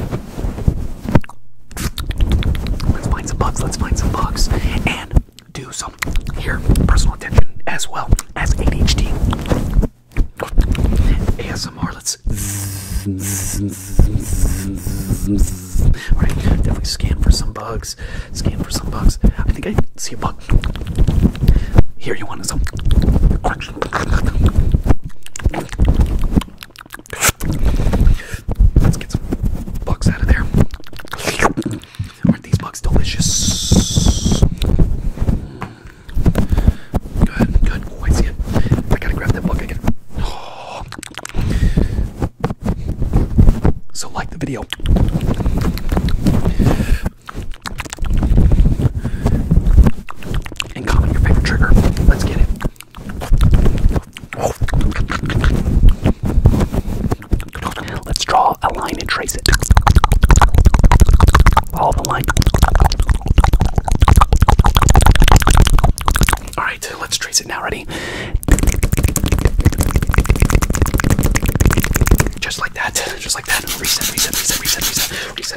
Let's find some bugs. Let's find some bugs and do some here personal attention as well as ADHD. ASMR. Let's right. Definitely scan for some bugs. Scan for some bugs. I think I see a bug. Here you want some. Let's get some bugs out of there. Aren't these bugs delicious? Good, good. Oh, I see it. I gotta grab that bug again. Oh. So, like the video. And comment your favorite trigger. Let's get it. Let's draw a line and trace it. Follow the line. Alright, let's trace it now. Ready? Just like that. Just like that. Reset, reset, reset, reset, reset, reset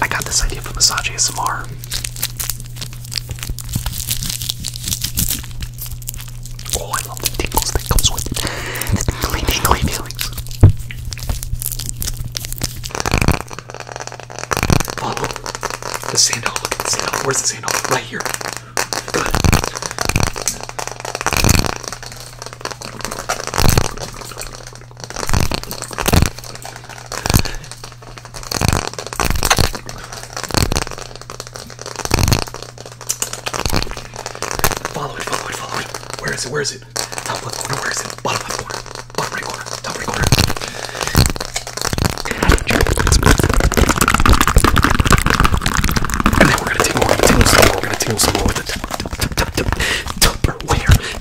I got this idea from Massage S M R. Oh, I love the tingles that comes with The tingly, tingly feelings. Oh, the sand hole. Where's the sand Right here. Good. Follow it, follow it, follow it. Where is it? Where is it? Top left corner, where is it? Bottom left corner, bottom right corner, top right corner. And then we're gonna tingle, we're going we're gonna tingle some with the Tupperware. And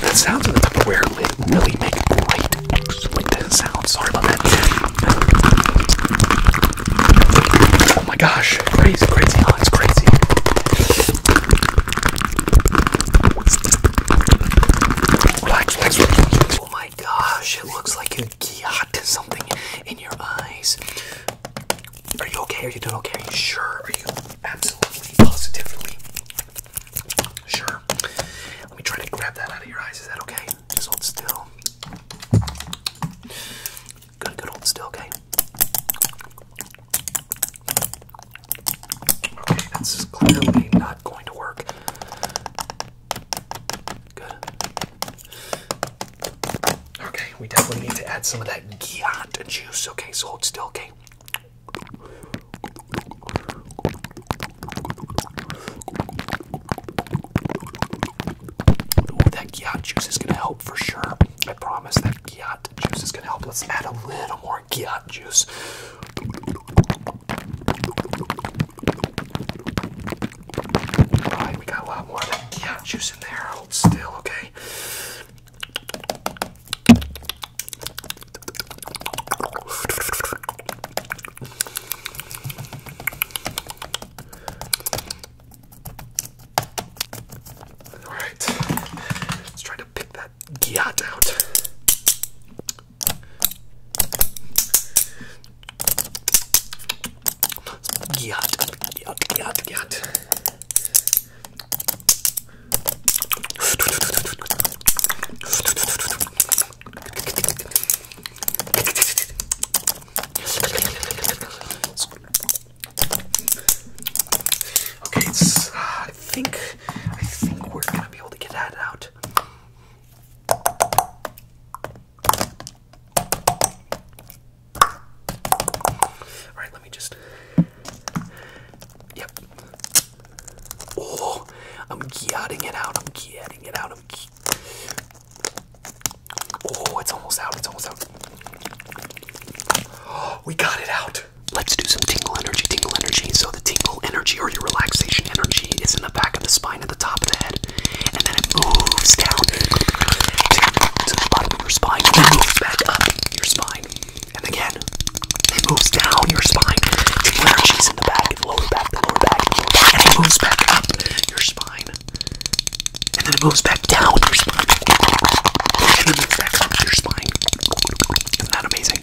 the sounds of the Tupperware really make great, excellent sounds. Sorry about that. Oh my gosh, crazy, crazy, oh, it's crazy. Relax, relax, relax. Oh my my gosh, it looks like you got something in your eyes. Are you okay? Are you doing okay? Are you sure? Are you absolutely positively sure? Let me try to grab that out of your eyes. Is that okay? Just hold still. Good, good, hold still, okay? Okay, is clearly not going to work. Good. Okay, we definitely need to add some of that Giant juice. Okay, so hold still, okay? Ooh, that Giant juice is gonna help for sure. I promise that Giant juice is gonna help. Let's add a little more Giant juice. Alright, we got a lot more of that yeah, juice in there. Hold still, okay? Alright, let's try to pick that gyat out. Yuck, yuck, yuck, yuck. Okay, it's, uh, I think, I think we're gonna be able to get that out. All right, let me just. Yep. Oh, I'm getting it out. I'm getting it out. Oh, it's almost out. It's almost out. we got it out. Let's do some tingle energy, tingle energy. So the tingle energy or your relaxation energy is in the back of the spine at the top of the head, and then it moves down to, the bottom of your spine, and then moves back up your spine. And again, it moves down your spine to the energies in the back, and the lower back, the lower back, and it moves back up your spine. And then it moves back down your spine. And then it moves back up your spine. Isn't that amazing?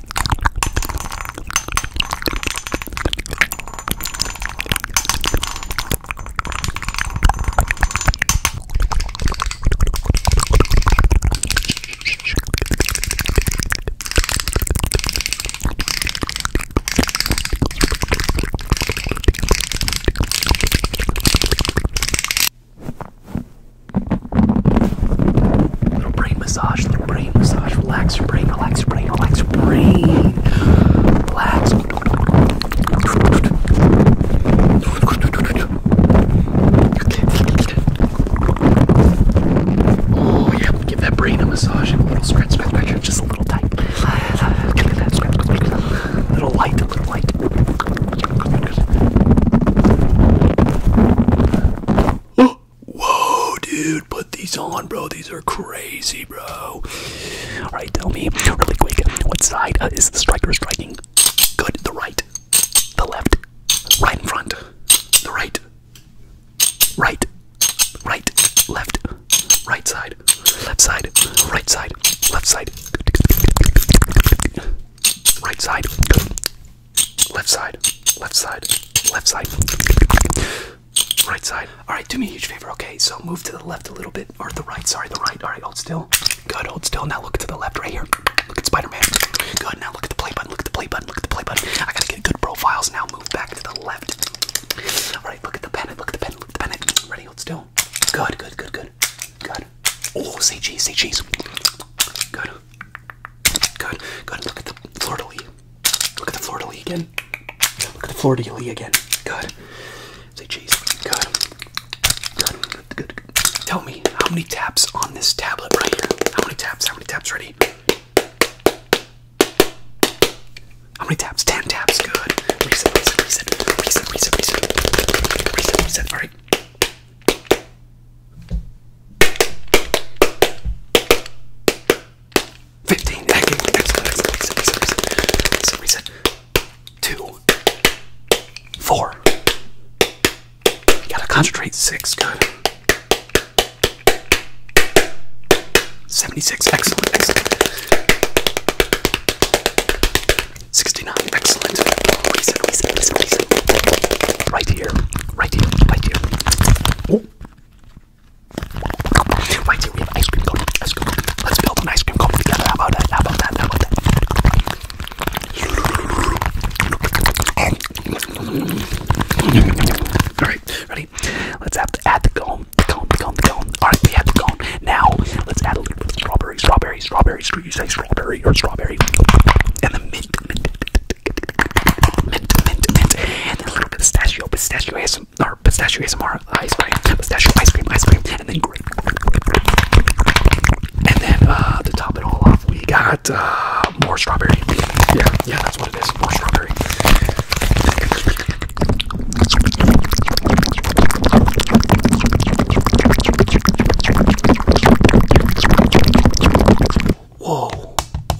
Little brain massage, little brain massage. Relax your brain, relax your brain, relax your brain. Relax. Oh, yeah, give that brain a massage and a little scratch, scratch, scratch, just a little tight. A little light, a little light. Oh, Whoa, dude, put these on, bro. These are crazy, bro. Alright, tell me really quick what side uh, is the striker striking? Good, the right, the left, right in front, the right, right, right, left, right side, left side, right side, left side, right side, Left side, left side, left side, right side. All right, do me a huge favor, okay? So move to the left a little bit, or the right, sorry, the right. All right, hold still. Good, hold still. Now look to the left right here. Look at Spider-Man. Good, now look at the play button, look at the play button, look at the play button. I gotta get good profiles now. Move back to the left. All right, look at the pen. look at the pen. look at the pen. Ready, hold still. Good, good, good, good, good. Oh, say cheese, cheese. Good. Good. Good. Look at the Florida Lee. Look at the Florida Lee again. Look at the Florida Lee again. Good. Say cheese. Good. Good. Good. Good. Tell me how many taps on this tablet right here. How many taps? How many taps? Ready? How many taps? Ten taps. Good. Reset. Reset. Reset. Reset. Reset. Reset. All right. 15. Excellent, excellent, excellent, excellent, excellent, reset. Two. Four. You gotta concentrate. Six. Good. 76. Excellent, excellent. 69. Excellent. Reset, reset, reset, reset. Right here. Right here. Right here. Oh. Why do we Let's build an ice cream cone together. How about that? How about that? How about that? Alright, ready? Let's add the cone. Alright, we have the cone. Now, let's add a little strawberry, strawberry, strawberry, strawberry. Should you say strawberry or strawberry? And the mint, mint, and then a little bit of pistachio, pistachio ASMR, or pistachio ASMR ice cream, pistachio ice cream, ice cream, and then uh, to top it all off, we got uh, more strawberry. Yeah, yeah, that's what it is, more strawberry. Whoa,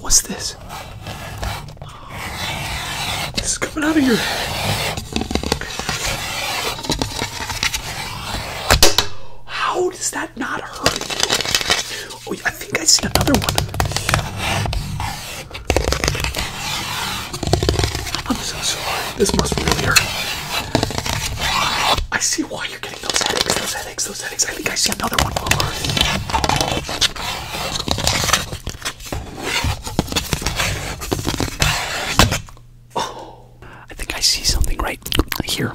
what's this? This is coming out of your How does that not hurt Oh, I think I see another one. I'm so sorry. This must really hurt. I see why you're getting those headaches. Those headaches fix those settings. I think I see another one. Oh, I think I see something right here.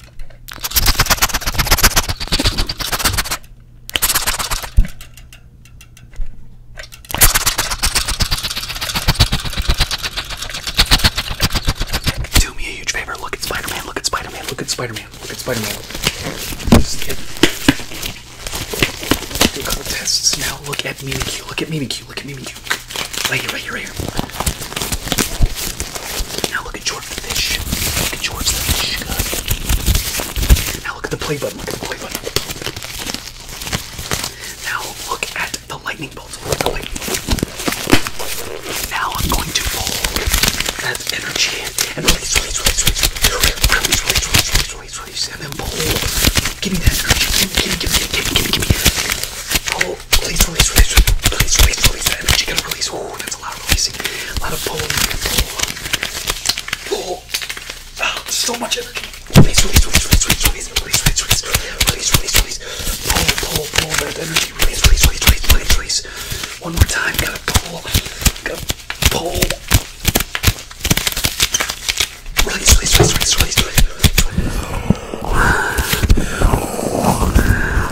Do me a huge favor. Look at Spider-Man. Look at Spider-Man. Look at Spider-Man. Look at Spider-Man. Just get do a couple tests now. Look at Mimikyu. Look at Mimikyu. Look at Mimikyu. Right here. Right here. Right here. Now look at George the fish. Look at George the fish. Good. Now look at the play button. Look at the play button. Now look at the lightning bolt. Look at the lightning bolt. Now I'm going to pull that energy and release, release, release, release, release, release, release, release, release, release, and then pull. Give me that energy. Give me, give me, give me, give me, give me. Pull. Release, release, release, release, release, release that energy. Gonna release. Oh, that's a lot amazing. A lot of pulling, pull, pull. Oh, so much energy. Release, release, release, release, release, release, release, release, release, release, release. Pull, pull, pull that energy. Release, release, release, release, release, release. One more time. Gotta pull. Gotta pull. Release, release, release, release, release, release. release.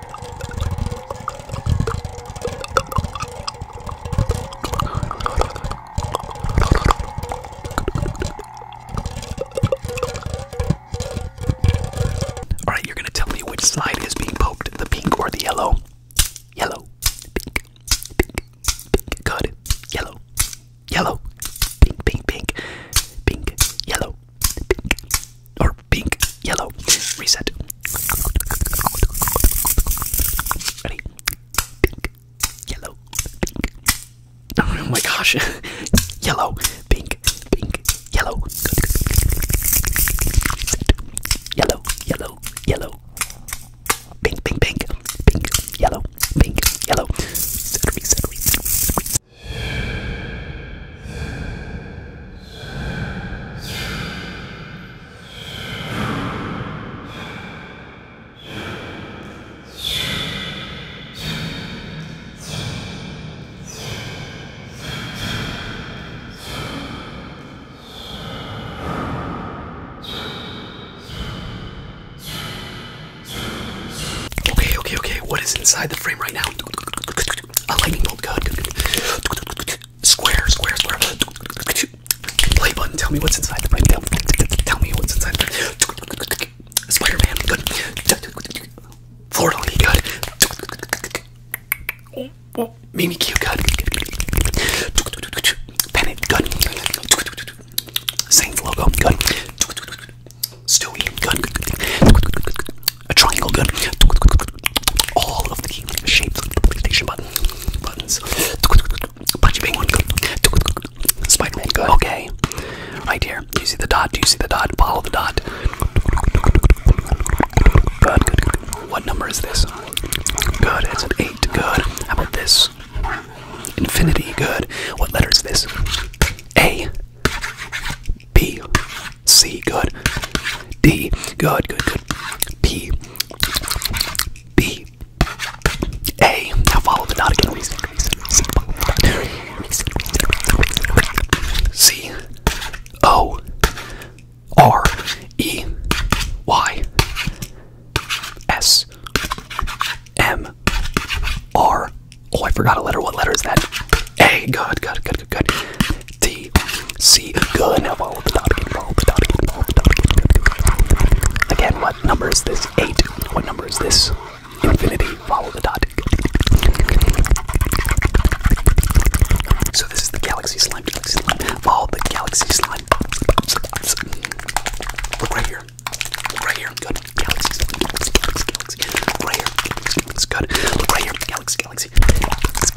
All right, you're going to tell me which side is being poked, the pink or the yellow? Yellow, pink, pink, pink, good, yellow, yellow, pink, pink, pink, pink, yellow, pink, or pink, yellow, reset. Ready? Pink, yellow, pink. Oh my gosh. yellow, pink, pink, yellow. Reset. Yellow, yellow, yellow. Pink, pink, pink, pink, yellow, pink, yellow. Reset, reset, reset, reset. Okay, okay, okay. What is inside the frame right now? A lightning bolt. Good. Square, square, square. Play button. Tell me what's inside the play button. Tell me what's inside. spider good. Florida good. Mimi Q, good. Bennett, good. Saints logo, good. Stewie, good a triangle good. All of the shapes of the PlayStation button buttons. Punchy penguin gun. Spider-Man gun. Okay. Right here. Do you see the dot? Do you see the dot? Follow the dot. good. What number is this? Good, it's an eight. Good. How about this? Infinity, good. What letter is this? A B C, good. D, good, good, good. P, B, A. Now follow the dot again. Reason, reason, reason, follow the dot. Reason, reason, reason. C, O, R, E, Y, S, M, R. Oh, I forgot a letter. What letter is that? A. Good, good, good, good, good. T C good. Now follow the dot again. Follow the dot Follow the dot again. what number is this? Eight. What number is this? Infinity. Follow the dot. So this is the galaxy slime. Galaxy slime. Follow the galaxy slime. Look right here. Look right here. Good. Galaxy slime. Galaxy. Galaxy. right here. Galaxy. Good. Look right here. Galaxy. Galaxy.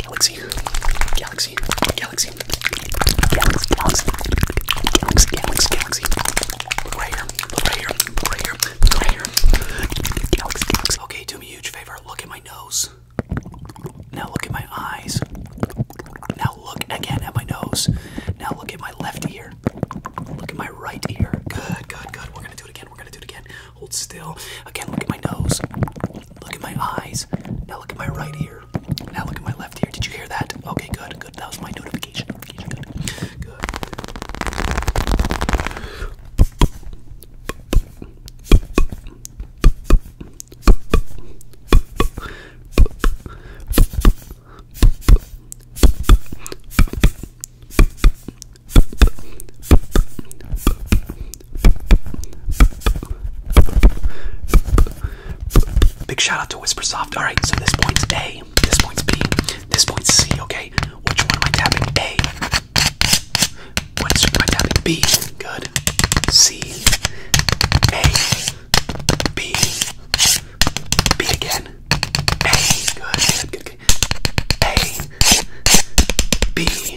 Galaxy. Galaxy. Galaxy. Galaxy. Galaxy. Galaxy. Galaxy. Galaxy. Look right here. Look right here. Look right here. Look right here. Galaxy. Galaxy. Okay, do me a huge favor. Look at my nose. Now look at my eyes. Now look again at my nose. Now look at my left ear. Look at my right ear. Good, good, good. We're gonna do it again. We're gonna do it again. Hold still. Again, look at my nose. Look at my eyes. Now look at my right ear. Now look at my left ear. Did you hear that? Okay, good, good. That was my notification. Okay, Good. Good. Big shout out to Whispersoft. Alright, so this point's A, this point's B, this point's C, okay? Which one am I tapping? A. Which am I tapping? B. Good. C. A. B. B again. A. good. A. B.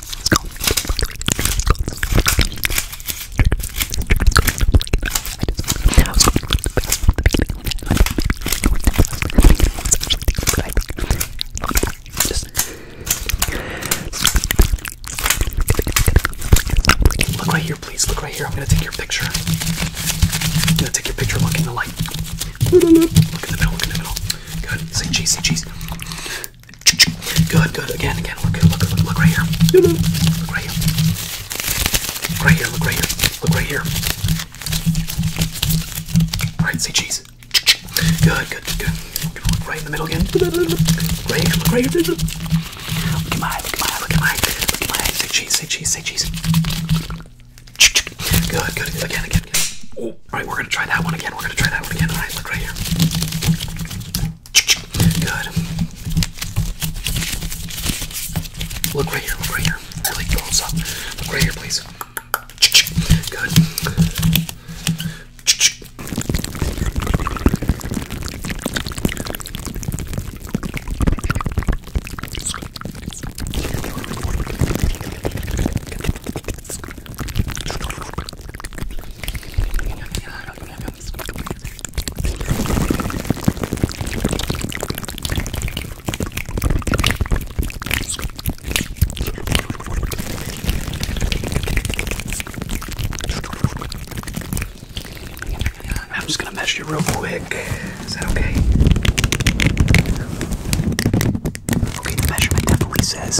It's gone. Just look right here, please. Look right here. I'm gonna take your picture. I'm gonna take your picture. Look in the light. Look in the middle. Look in the middle. Good. Say cheese. Say cheese. Good, good. Again, again. Look, look, look, look right here. Look right here. Look right here. Look right here. Look right here. All right, say cheese. Good, good, good. We're gonna look right in the middle again. Look right here. Look right here. Look at my eye. Look at my eye. Look at my eye. Look at my eye. Say cheese. Say cheese. Say cheese. Good, good. Again, again, again. Oh, all right, we're gonna try that one again. We're gonna try that one again. All right, look right here. Good. Look right here, look right here. I like thumbs up. Look right here, please. Good. I'm just gonna measure you real quick. Is that okay? Okay, the measurement definitely says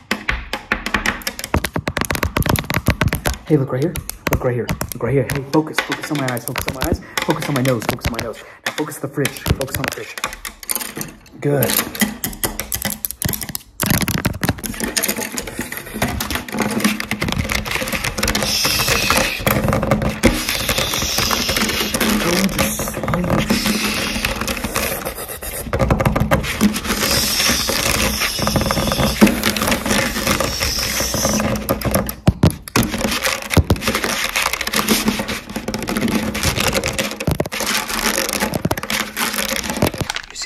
Hey, look right here. Look right here. Look right here. Hey, focus. Focus on my eyes. Focus on my eyes. Focus on my nose. Focus on my nose. Now focus the fridge. Focus on the fridge. Good. You see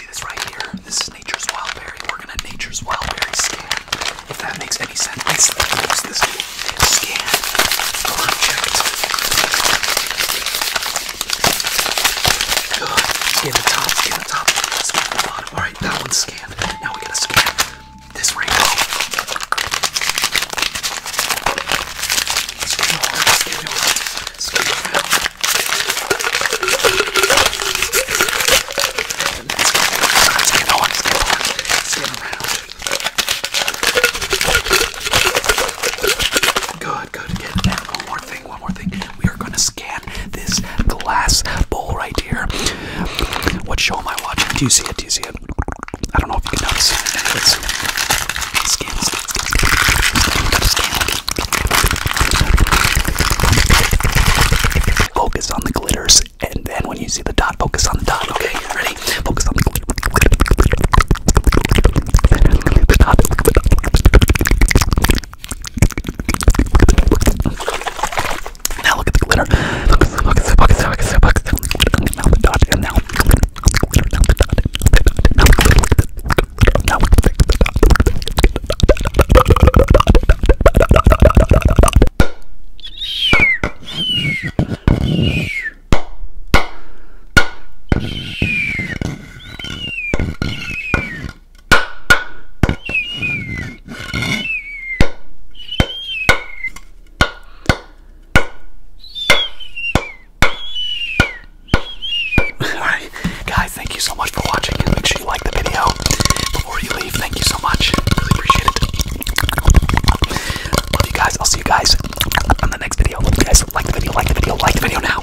this right here? This is nature's wildberry. We're gonna nature's wildberry scan. If that makes any sense, let's use this scan project. Good. Scan the top, scan the top, scan the bottom. Alright, that one's scanned. Now we gotta scan this rainbow. Scan it hard, scan it hard, scan it around. Scan it hard, scan it hard, scan around. Good, good, again. Now one more thing thing, one more thing. We are gonna scan this glass bowl right here. What show am I watching? Do you see it? Do you see it? I don't know if you can notice. Anyways, scan, scan, scan, scan. Focus on the glitters, and then when you see the dot, focus on the dot. Okay, ready? Focus on the glitter. The dot. The dot. Now look at the glitter. Look at the look at the look at the look at the look at the now the dot and now now the dot now look at the now look at the dot Alright, guys, thank you so much for watching. And make sure you like the video before you leave. Thank you so much. Really appreciate it. Love you guys. I'll see you guys on the next video. Love you guys. Like the video, like the video, like the video now.